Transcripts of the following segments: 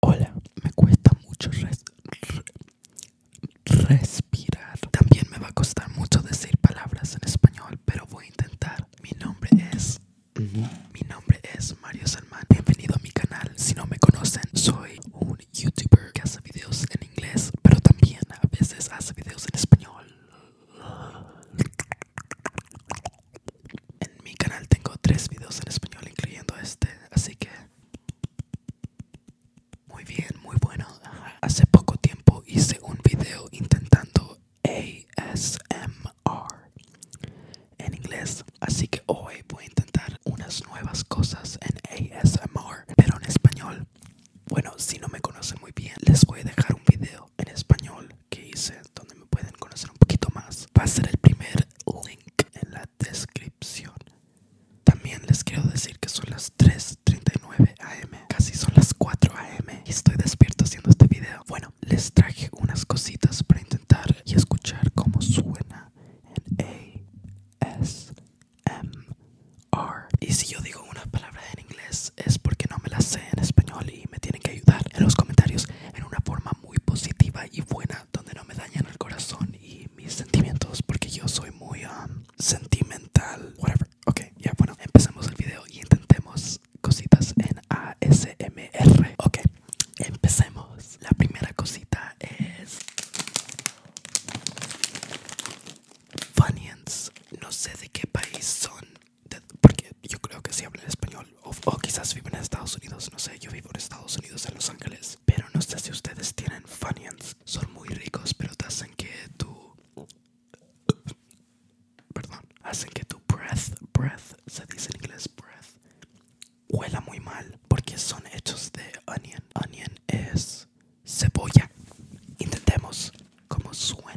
Hola, me cuesta mucho respirar. También me va a costar mucho decir palabras en español, pero voy a intentar. Mi nombre es... Mi nombre es Mario Salmán. Bienvenido a mi canal. Si no me conocen, soy un youtuber que hace videos en inglés, pero también a veces hace videos en español. En mi canal tengo tres videos en español, incluyendo este, así que muy bien, muy bueno. Hace poco tiempo hice un video intentando ASMR en inglés, así que hoy voy a intentar unas nuevas cosas en ASMR, pero en español. Bueno, si no me conocen muy bien, les voy a dejar un video en español que hice donde me pueden conocer un poquito más. Va a ser el primer link en la descripción. También les quiero decir que son las 3:39 am, casi son las 4 am y estoy despierto haciendo este video. Bueno, les traje unas cositas para intentar y escuchar cómo suena en ASMR. Y si yo digo una palabra en inglés es porque no me la sé en español y me tienen que ayudar en los comentarios en una forma muy positiva y buena donde no me dañan el corazón y mis sentimientos porque yo soy muy um, sentimental whatever ok ya bueno empecemos el video y intentemos cositas en ASMR ok empecemos la primera cosita es Funions, no sé de qué país son porque yo creo que si hablan español o, quizás viven en Estados Unidos, no sé, yo vivo en Estados Unidos, en Los Ángeles, pero no sé si ustedes tienen Funyuns, son muy ricos, pero te hacen que tu... Perdón, hacen que tu breath, breath, se dice en inglés breath, huela muy mal porque son hechos de onion. Onion es cebolla. Intentemos como suena.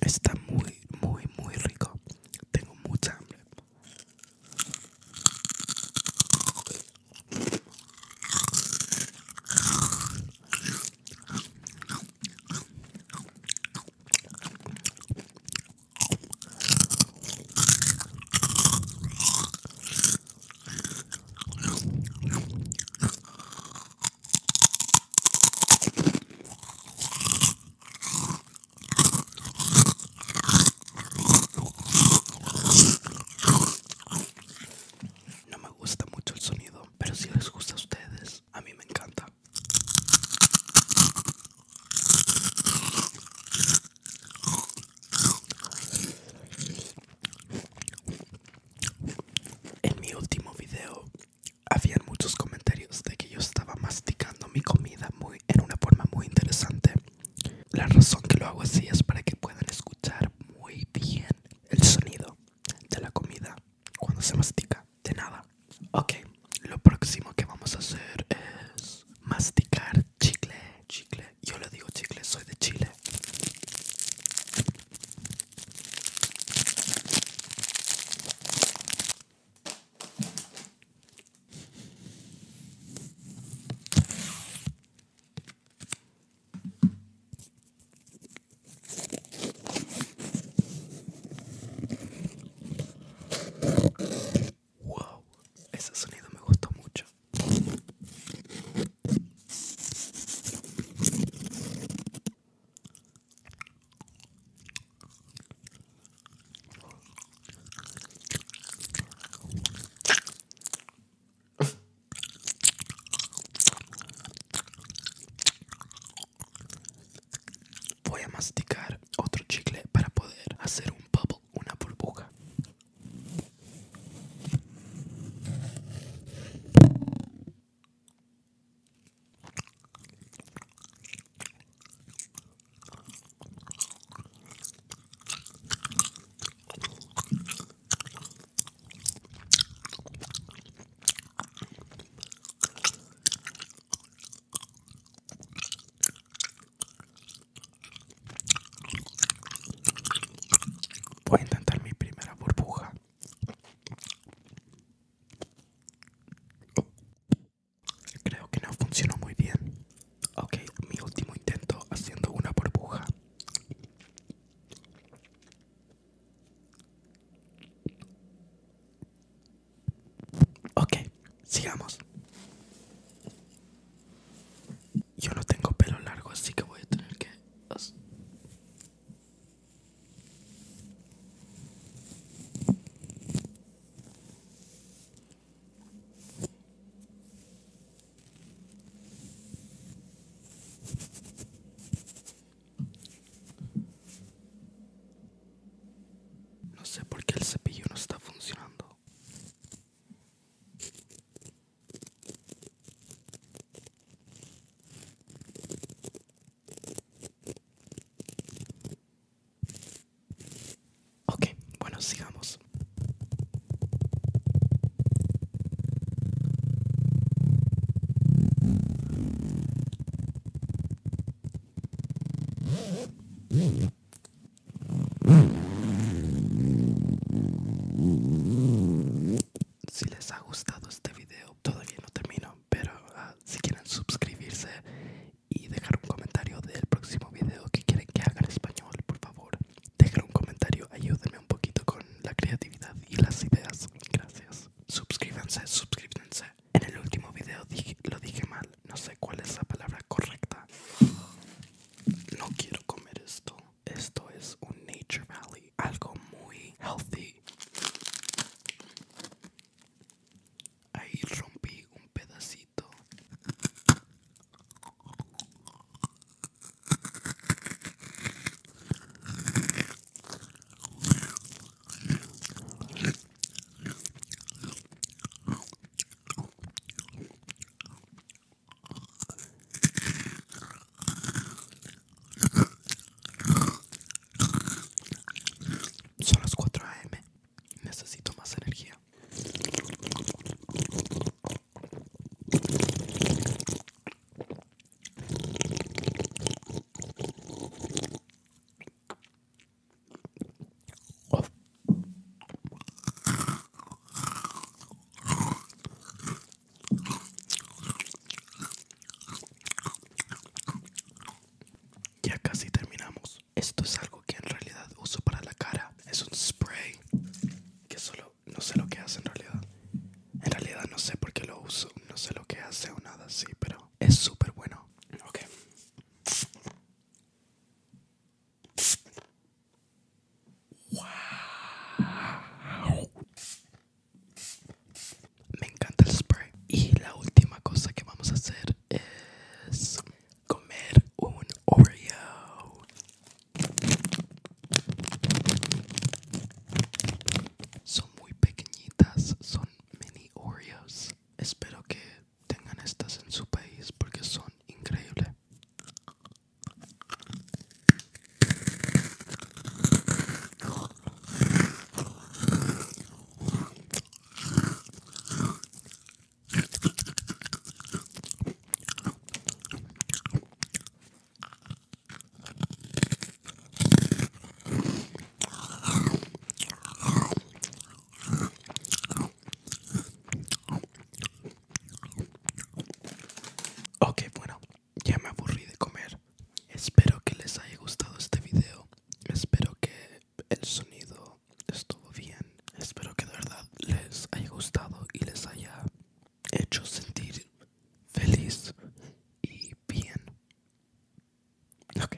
Está muy, muy, muy rico. Tengo mucha hambre. No me gusta mucho el sonido, pero si les gusta a ustedes, a mí me encanta. En mi último video habían muchos comentarios de que yo estaba masticando mi comida muy, en una forma muy interesante. La razón que lo hago así es para que puedan escuchar muy bien el sonido de la comida cuando se mastica. De nada. Ok, lo próximo que vamos a hacer es masticar chicle, chicle. Yo le digo chicle, soy de Chile. Wow, ese sonido me gustó mucho. Voy a masticar otro chicle para poder hacer un bubble, una burbuja. Voy a intentar mi primera burbuja. Creo que no funcionó muy bien. Ok, mi último intento haciendo una burbuja. Ok, sigamos. Yo no tengo pelo largo, así que voy a tener que... No sé por qué el cepillo no está funcionando. Ok, bueno, sigamos. Si les ha gustado este video, todavía no termino, pero ah, si quieren suscribirse y dejar un comentario del próximo video que quieren que haga en español, por favor, dejen un comentario, ayúdenme un poquito con la creatividad y las ideas. Gracias. Suscríbanse, suscríbanse, en el último video lo dije mal, no sé cuál es la palabra correcta. No quiero comer esto. Esto es un Nature Valley, algo muy healthy. Ahí rompí un pedacito. Son las 4 a.m. Necesito más energía. Ya casi terminamos. Esto es algo que en realidad uso para la cara. Es un spray que solo no sé lo que hace en realidad. En realidad no sé por qué lo uso, no sé lo que hace o nada así, pero es súper bueno. Ok. Wow. Me encanta el spray. Y la última cosa que vamos a hacer es comer un Oreo. Son muy pequeñitas, son mini Oreos. Espero que tengan estas en su país porque son increíbles. Ok, bueno, ya me aburrí de comer. Espero que les haya gustado este video. Espero que el sonido estuvo bien. Espero que de verdad les haya gustado y les haya hecho sentir feliz y bien. Ok,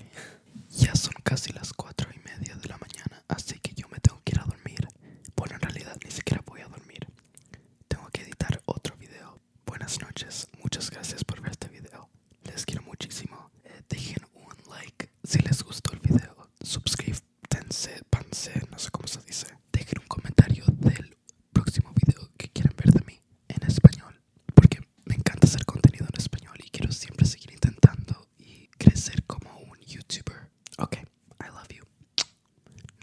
ya son casi las cuatro y media de la mañana, así que yo me tengo que ir a dormir. Bueno, en realidad ni siquiera voy a dormir. Tengo que editar otro video. Buenas noches, muchas gracias por ver este video. Les quiero muchísimo. Eh, dejen un like si les gustó el video. Suscríbanse, no sé cómo se dice. Dejen un comentario del próximo video que quieran ver de mí en español porque me encanta hacer contenido en español y quiero siempre seguir intentando y crecer como un youtuber ok I love you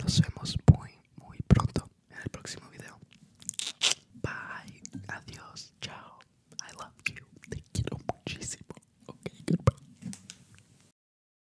nos vemos muy muy pronto en el próximo video bye adiós chao I love you te quiero muchísimo ok goodbye